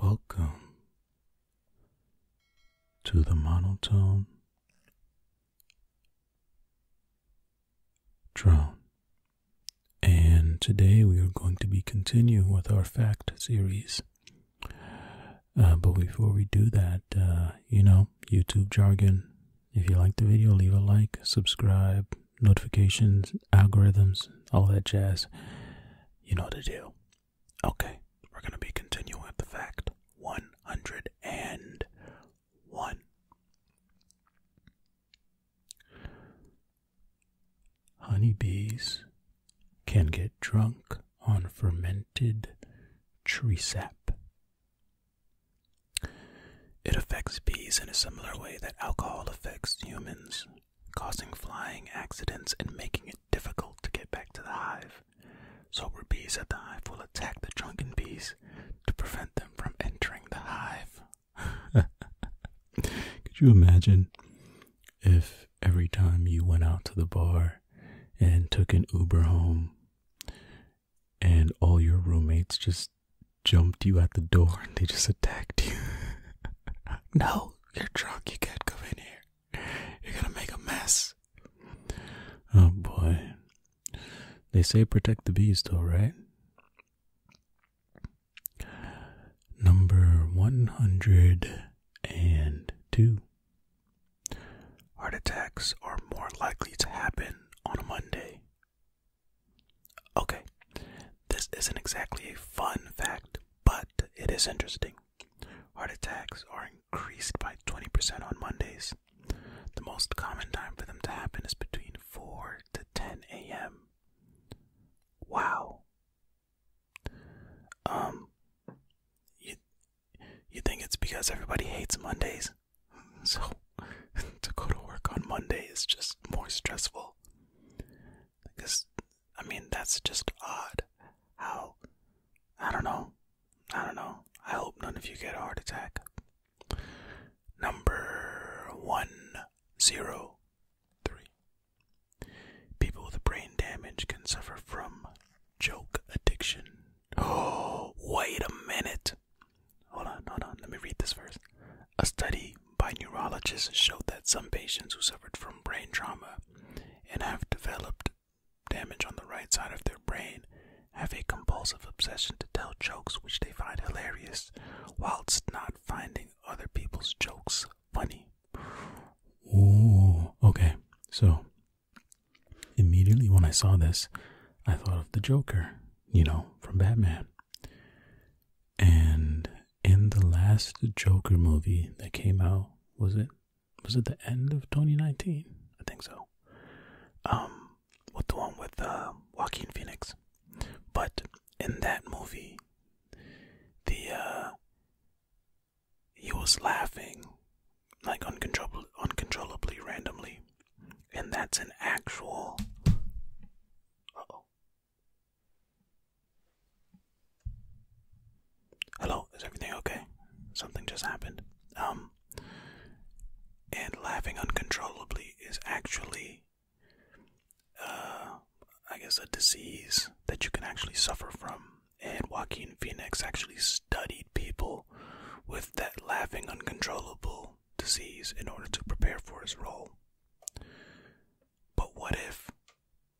Welcome to the monotone drone. And today we are going to be continuing with our fact series. Uh, but before we do that, uh, you know, YouTube jargon. If you like the video, leave a like, subscribe, notifications, algorithms, all that jazz. You know the deal. Okay, we're going to be continuing with the fact 101. Honeybees can get drunk on fermented tree sap. It affects bees in a similar way that alcohol affects humans, causing flying accidents and making it difficult to get back to the hive. Sober bees at the hive will attack the drunken bees to prevent them from entering the hive. Could you imagine if every time you went out to the bar and took an Uber home and all your roommates just jumped you at the door and they just attacked you. no, you're drunk, you can't come in here. You're gonna make a mess. Oh boy. They say protect the bees though, right? Number 102. Heart attacks are more likely to happen on a Monday. Okay, this isn't exactly a fun fact, but it is interesting. Heart attacks are increased by 20% on Mondays. The most common time for them to happen is between 4 to 10 a.m. Wow. Um, you you think it's because everybody hates Mondays, so to go to work on Monday is just more stressful. Because I mean that's just odd. How I don't know. I don't know. I hope none of you get a heart attack. Number one zero three. People with brain damage can suffer from joke addiction. Oh, wait a minute. Hold on, hold on. Let me read this first. A study by neurologists showed that some patients who suffered from brain trauma and have developed damage on the right side of their brain have a compulsive obsession to tell jokes which they find hilarious whilst not finding other people's jokes funny. Ooh, okay. So Immediately when I saw this, I thought of the Joker, you know, from Batman. And in the last Joker movie that came out, was it was it the end of 2019? I think so. Um, what the one with uh, Joaquin Phoenix? But in that movie, the uh, he was laughing, like uncontrollably, randomly, and that's an actual. oh. Hello, is everything okay? Something just happened. Um, and laughing uncontrollably is actually, uh, I guess, a disease that you can actually suffer from and Joaquin Phoenix actually studied people with that laughing uncontrollable disease in order to prepare for his role. But what if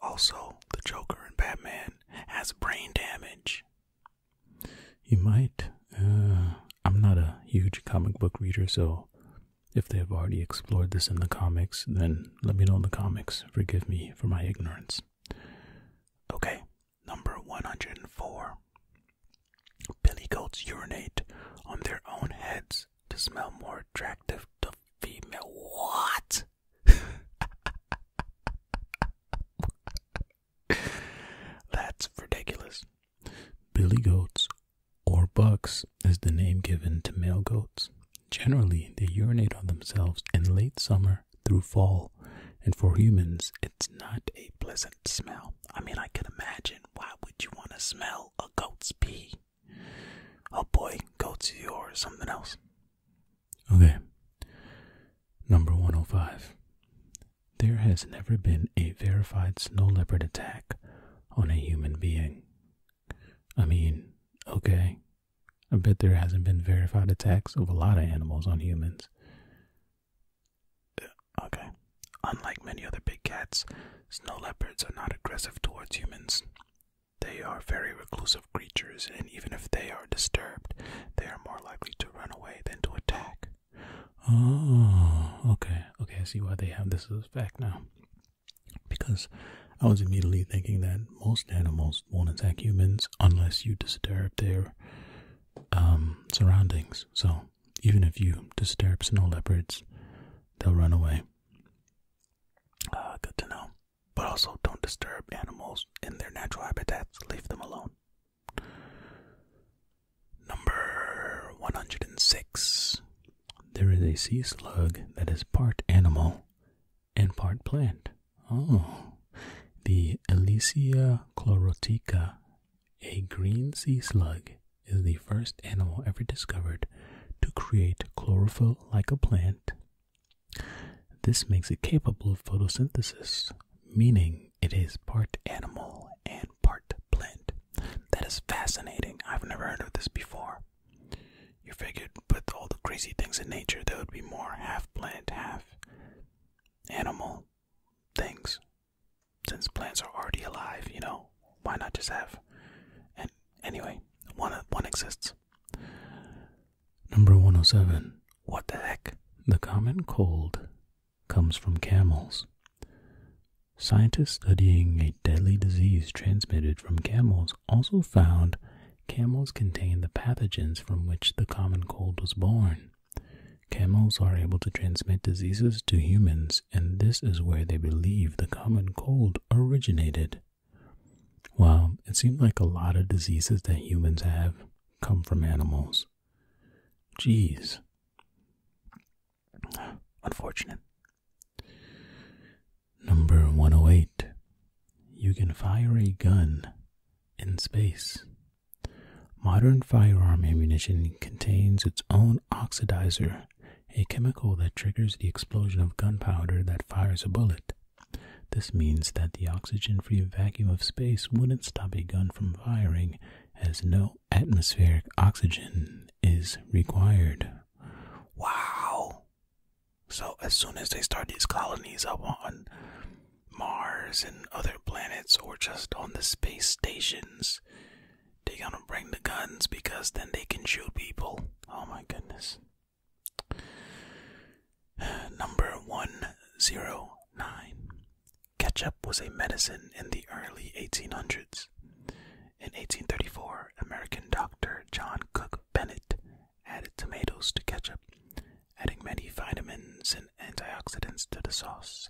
also the Joker and Batman has brain damage? You might. Uh, I'm not a huge comic book reader, so if they have already explored this in the comics, then let me know in the comics. Forgive me for my ignorance. Okay, number 104. Billy goats urinate on their own heads to smell more attractive to female. What? That's ridiculous. Billy goats, or bucks, is the name given to male goats. Generally, they urinate on themselves in late summer through fall, and for humans, it's not a pleasant smell. I mean, I can imagine why would you want to smell a goat's pee? Oh boy, goat's you or something else. Okay, number 105. There has never been a verified snow leopard attack on a human being. I mean, okay, I bet there hasn't been verified attacks of a lot of animals on humans. Okay. Unlike many other big cats, snow leopards are not aggressive towards humans. They are very reclusive creatures, and even if they are disturbed, they are more likely to run away than to attack. Oh, okay. Okay, I see why they have this as a fact now. Because I was immediately thinking that most animals won't attack humans unless you disturb their um, surroundings. So even if you disturb snow leopards, they'll run away. Uh, good to know. But also, don't disturb animals in their natural habitats. Leave them alone. Number 106. There is a sea slug that is part animal and part plant. Oh, the Elysia chlorotica, a green sea slug, is the first animal ever discovered to create chlorophyll like a plant. This makes it capable of photosynthesis, meaning it is part animal and part plant. That is fascinating. I've never heard of this before. You figured with all the crazy things in nature, there would be more half plant, half animal things. Since plants are already alive, you know, why not just have? And anyway, one one exists. Number 107. What the heck? The common cold comes from camels. Scientists studying a deadly disease transmitted from camels also found camels contain the pathogens from which the common cold was born. Camels are able to transmit diseases to humans, and this is where they believe the common cold originated. Well, it seems like a lot of diseases that humans have come from animals. Jeez. Unfortunate. Number 108. You can fire a gun in space. Modern firearm ammunition contains its own oxidizer, a chemical that triggers the explosion of gunpowder that fires a bullet. This means that the oxygen free vacuum of space wouldn't stop a gun from firing, as no atmospheric oxygen is required. Wow! So, as soon as they start these colonies up on Mars and other planets or just on the space stations, they're gonna bring the guns because then they can shoot people. Oh my goodness. Number 109. Ketchup was a medicine in the early 1800s. In 1834, American doctor John Cook Bennett Added tomatoes to ketchup, adding many vitamins and antioxidants to the sauce.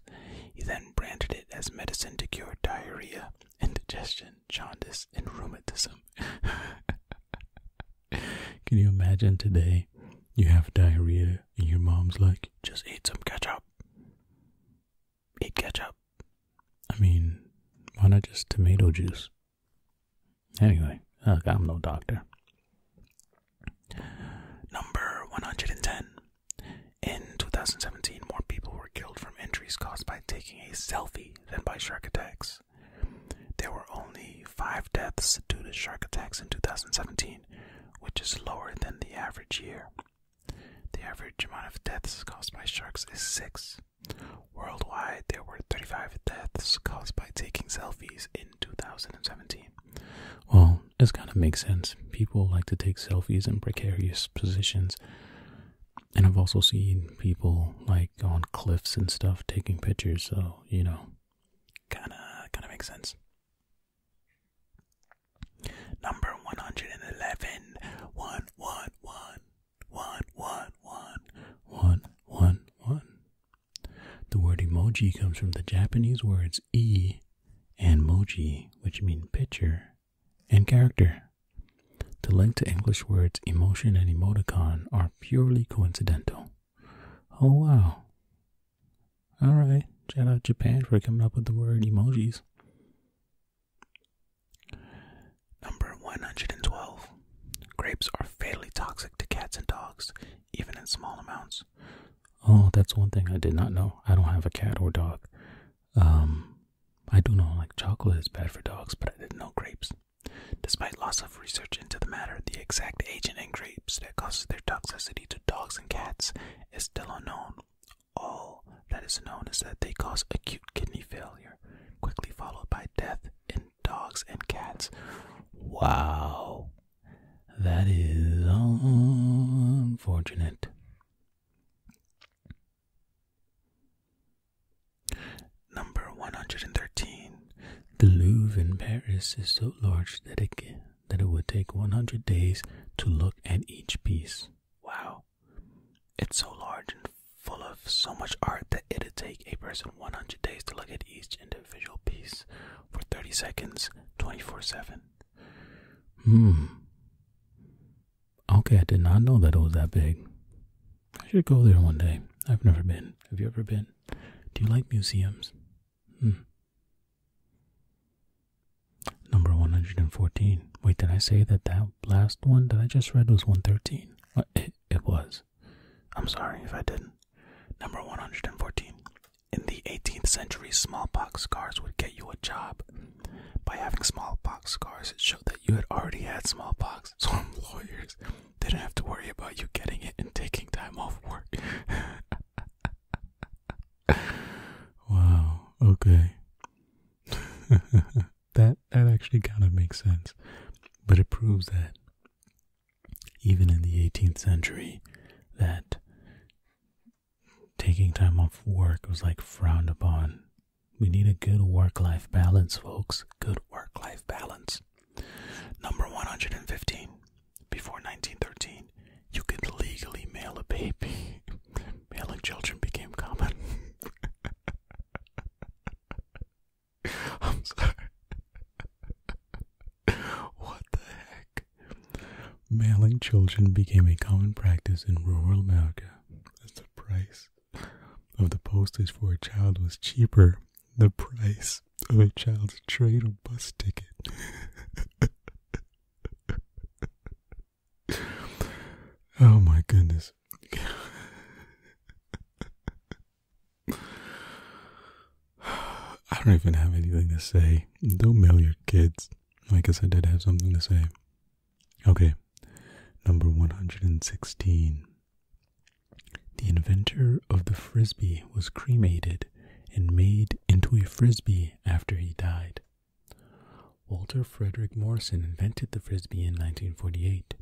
He then branded it as medicine to cure diarrhea, indigestion, jaundice, and rheumatism. Can you imagine today you have diarrhea and your mom's like, just eat some ketchup? Eat ketchup. I mean, why not just tomato juice? Anyway, I'm no doctor. Number 110. In 2017, more people were killed from injuries caused by taking a selfie than by shark attacks. There were only five deaths due to shark attacks in 2017, which is lower than the average year. The average amount of deaths caused by sharks is six. Worldwide, there were 35 deaths caused by taking selfies in 2017. Well, this kind of makes sense. People like to take selfies in precarious positions. And I've also seen people like on cliffs and stuff taking pictures, so you know, kind of kind of makes sense. Number 111 one one one one one one one one one the word emoji comes from the Japanese words e and moji, which mean picture and character. The link to English words emotion and emoticon are purely coincidental. Oh wow. Alright, shout out Japan for coming up with the word emojis. Number 112. Grapes are fatally toxic to cats and dogs, even in small amounts. Oh, that's one thing I did not know. I don't have a cat or dog. Um, I do know like chocolate is bad for dogs, but I didn't know grapes. Despite lots of research into the matter, the exact agent in grapes that causes their toxicity to dogs and cats is still unknown. All that is known is that they cause acute kidney failure, quickly followed by death dogs and cats. Wow. That is unfortunate. Number 113. The Louvre in Paris is so large that it, that it would take 100 days to look at each piece. Wow. It's so large and full of so much art that it'd take a person 100 days to look at each individual piece for 30 seconds, 24 7. Hmm. Okay, I did not know that it was that big. I should go there one day. I've never been. Have you ever been? Do you like museums? Hmm. Number 114. Wait, did I say that that last one that I just read was 113? it was. I'm sorry if I didn't. Number 114. In the 18th century, smallpox scars would get you a job. By having smallpox scars, it showed that you had already had smallpox, so employers didn't have to worry about you getting it and taking time off work. wow, okay. that that actually kind of makes sense. But it proves that even in the 18th century, that taking time off work was like frowned upon. We need a good work life balance, folks. Good work life balance. Number 115. Before 1913, you could legally mail a baby. Mailing children became common. I'm sorry. what the heck? Mailing children became a common practice in rural America as the price of the postage for a child was cheaper than the price of a child's train or bus ticket. oh my goodness. I don't even have anything to say. Don't mail your kids. I guess I did have something to say. Okay, number 116. The inventor of the frisbee was cremated and made into a frisbee after he died. Walter Frederick Morrison invented the frisbee in 1948,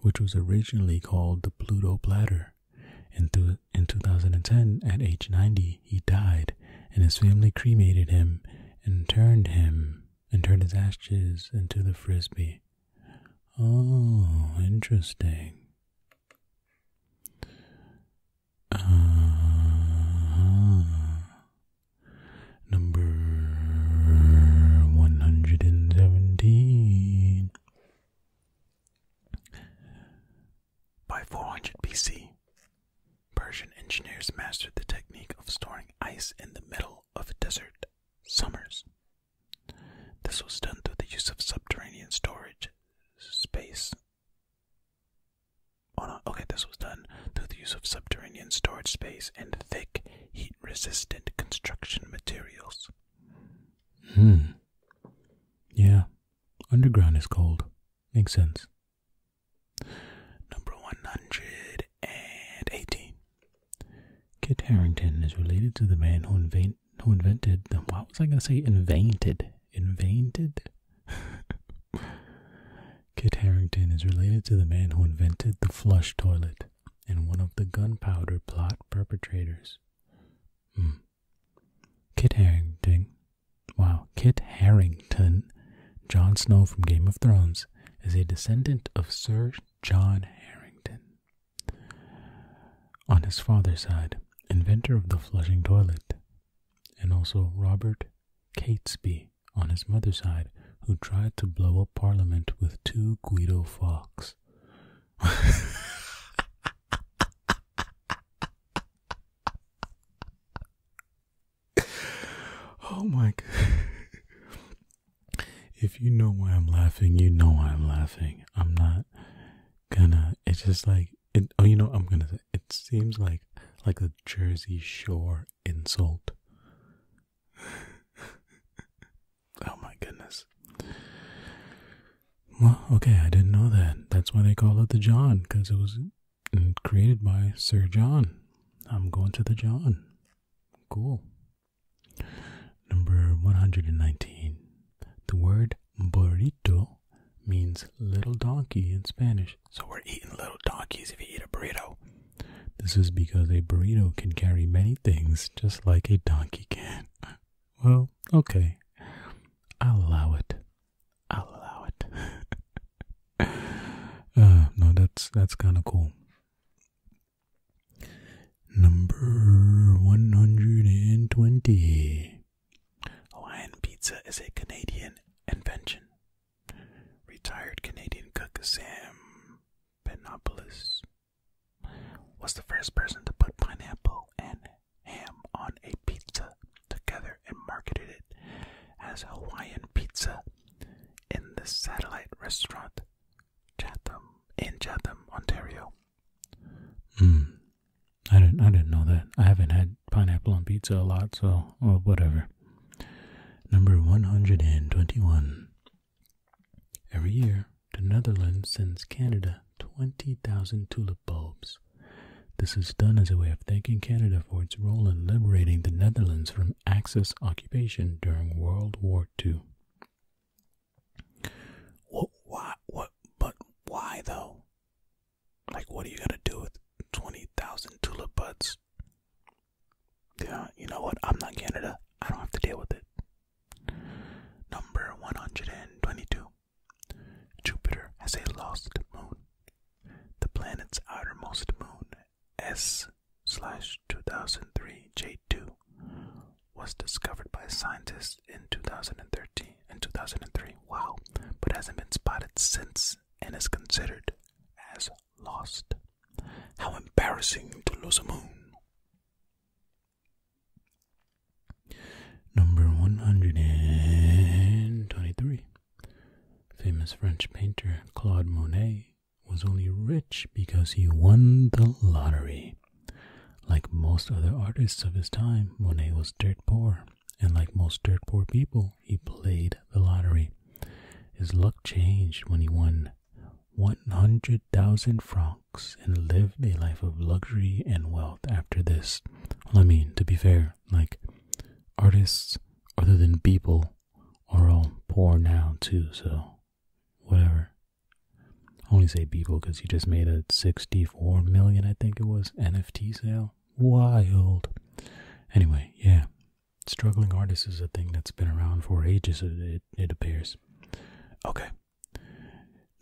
which was originally called the Pluto Platter. In, th- in 2010, at age 90, he died, and his family cremated him and turned him and turned his ashes into the frisbee. Oh, interesting. uh Number 117. By 400 BC, Persian engineers mastered the technique of storing ice in the middle of desert summers. This was done through the use of subterranean storage space. Oh, okay, this was done through the use of subterranean storage space and thick, heat resistant construction materials. Hmm. Yeah. Underground is cold. Makes sense. Number 118. Kit Harrington is related to the man who, invent, who invented the. What was I going to say? Invented. Invented? Kit Harrington is related to the man who invented the flush toilet and one of the gunpowder plot perpetrators. Harris. Hmm. Kit Harrington. Wow, Kit Harrington, Jon Snow from Game of Thrones, is a descendant of Sir John Harrington. On his father's side, inventor of the flushing toilet, and also Robert Catesby on his mother's side, who tried to blow up Parliament with two Guido Fawkes. oh my If you know why I'm laughing, you know why I'm laughing. I'm not gonna it's just like it oh you know I'm gonna say it seems like like a Jersey Shore insult. Oh my goodness. Well, okay, I didn't know that. That's why they call it the John, because it was created by Sir John. I'm going to the John. Cool. Number 119. The word burrito means little donkey in Spanish. So we're eating little donkeys if you eat a burrito. This is because a burrito can carry many things just like a donkey can. Well, okay. I'll allow it. I'll allow it. uh, no, that's that's kind of cool. Number 120. Hawaiian pizza is a Canadian invention. Retired Canadian cook Sam Penopoulos was the first person to put pineapple and ham on a pizza together and marketed it as Hawaiian pizza in the satellite restaurant Chatham in Chatham, Ontario. Mm. I didn't I didn't know that. I haven't had pineapple on pizza a lot, so whatever. Number 121. Every year, the Netherlands sends Canada 20,000 tulip bulbs. This is done as a way of thanking Canada for its role in liberating the Netherlands from Axis occupation during World War II. What, why, what, but why though? Like, what are you gonna do with 20,000 tulip buds? Yeah, you know what? I'm not Canada. I don't have to deal with it. Number 122. Jupiter has a lost moon. The planet's outermost moon, S slash 2003 J2, was discovered by scientists in 2013 and 2003. Wow, but hasn't been spotted since and is considered as lost. How embarrassing to lose a moon. Number 123. Famous French painter Claude Monet was only rich because he won the lottery. Like most other artists of his time, Monet was dirt poor, and like most dirt poor people, he played the lottery. His luck changed when he won 100,000 francs and live a life of luxury and wealth after this. Well, I mean, to be fair, like artists other than people are all poor now too, so whatever. only say people because you just made a 64 million, I think it was, NFT sale. Wild. Anyway, yeah. Struggling artists is a thing that's been around for ages, it appears. Okay,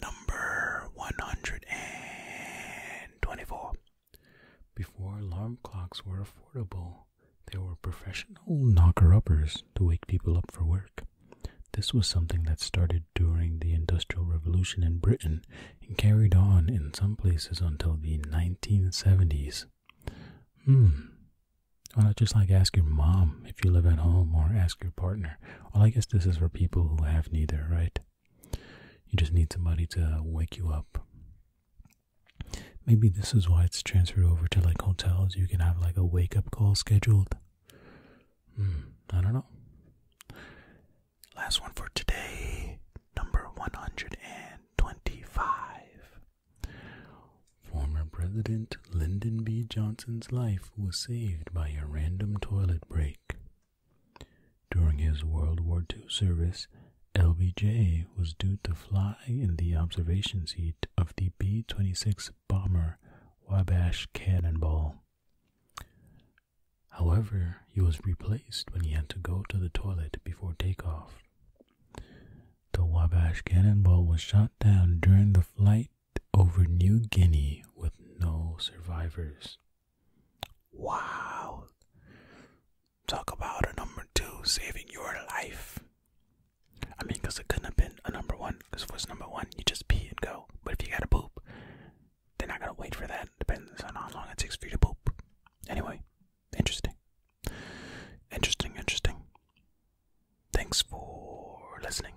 Number 124. Before alarm clocks were affordable, there were professional knocker uppers to wake people up for work. This was something that started during the Industrial Revolution in Britain and carried on in some places until the 1970s. Hmm, why not just like ask your mom if you live at home or ask your partner? Well, I guess this is for people who have neither, right? You just need somebody to wake you up. Maybe this is why it's transferred over to like hotels. You can have like a wake up call scheduled. Hmm, I don't know. Last one for today, number 125. Former President Lyndon B. Johnson's life was saved by a random toilet break. During his World War II service, LBJ was due to fly in the observation seat of the B 26 bomber Wabash Cannonball. However, he was replaced when he had to go to the toilet before takeoff. The Wabash Cannonball was shot down during the flight over New Guinea with no survivors. Wow. Talk about a number two saving your life. I mean, because it couldn't have been a number one. Because if it's number one, you just pee and go. But if you gotta poop, they're not to wait for that. Depends on how long it takes for you to poop. Anyway, interesting. Interesting, interesting. Thanks for listening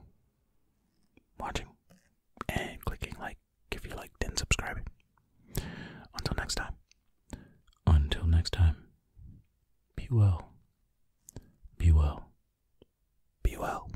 watching and clicking like if you liked and subscribing. Until next time. Until next time. Be well. Be well. Be well.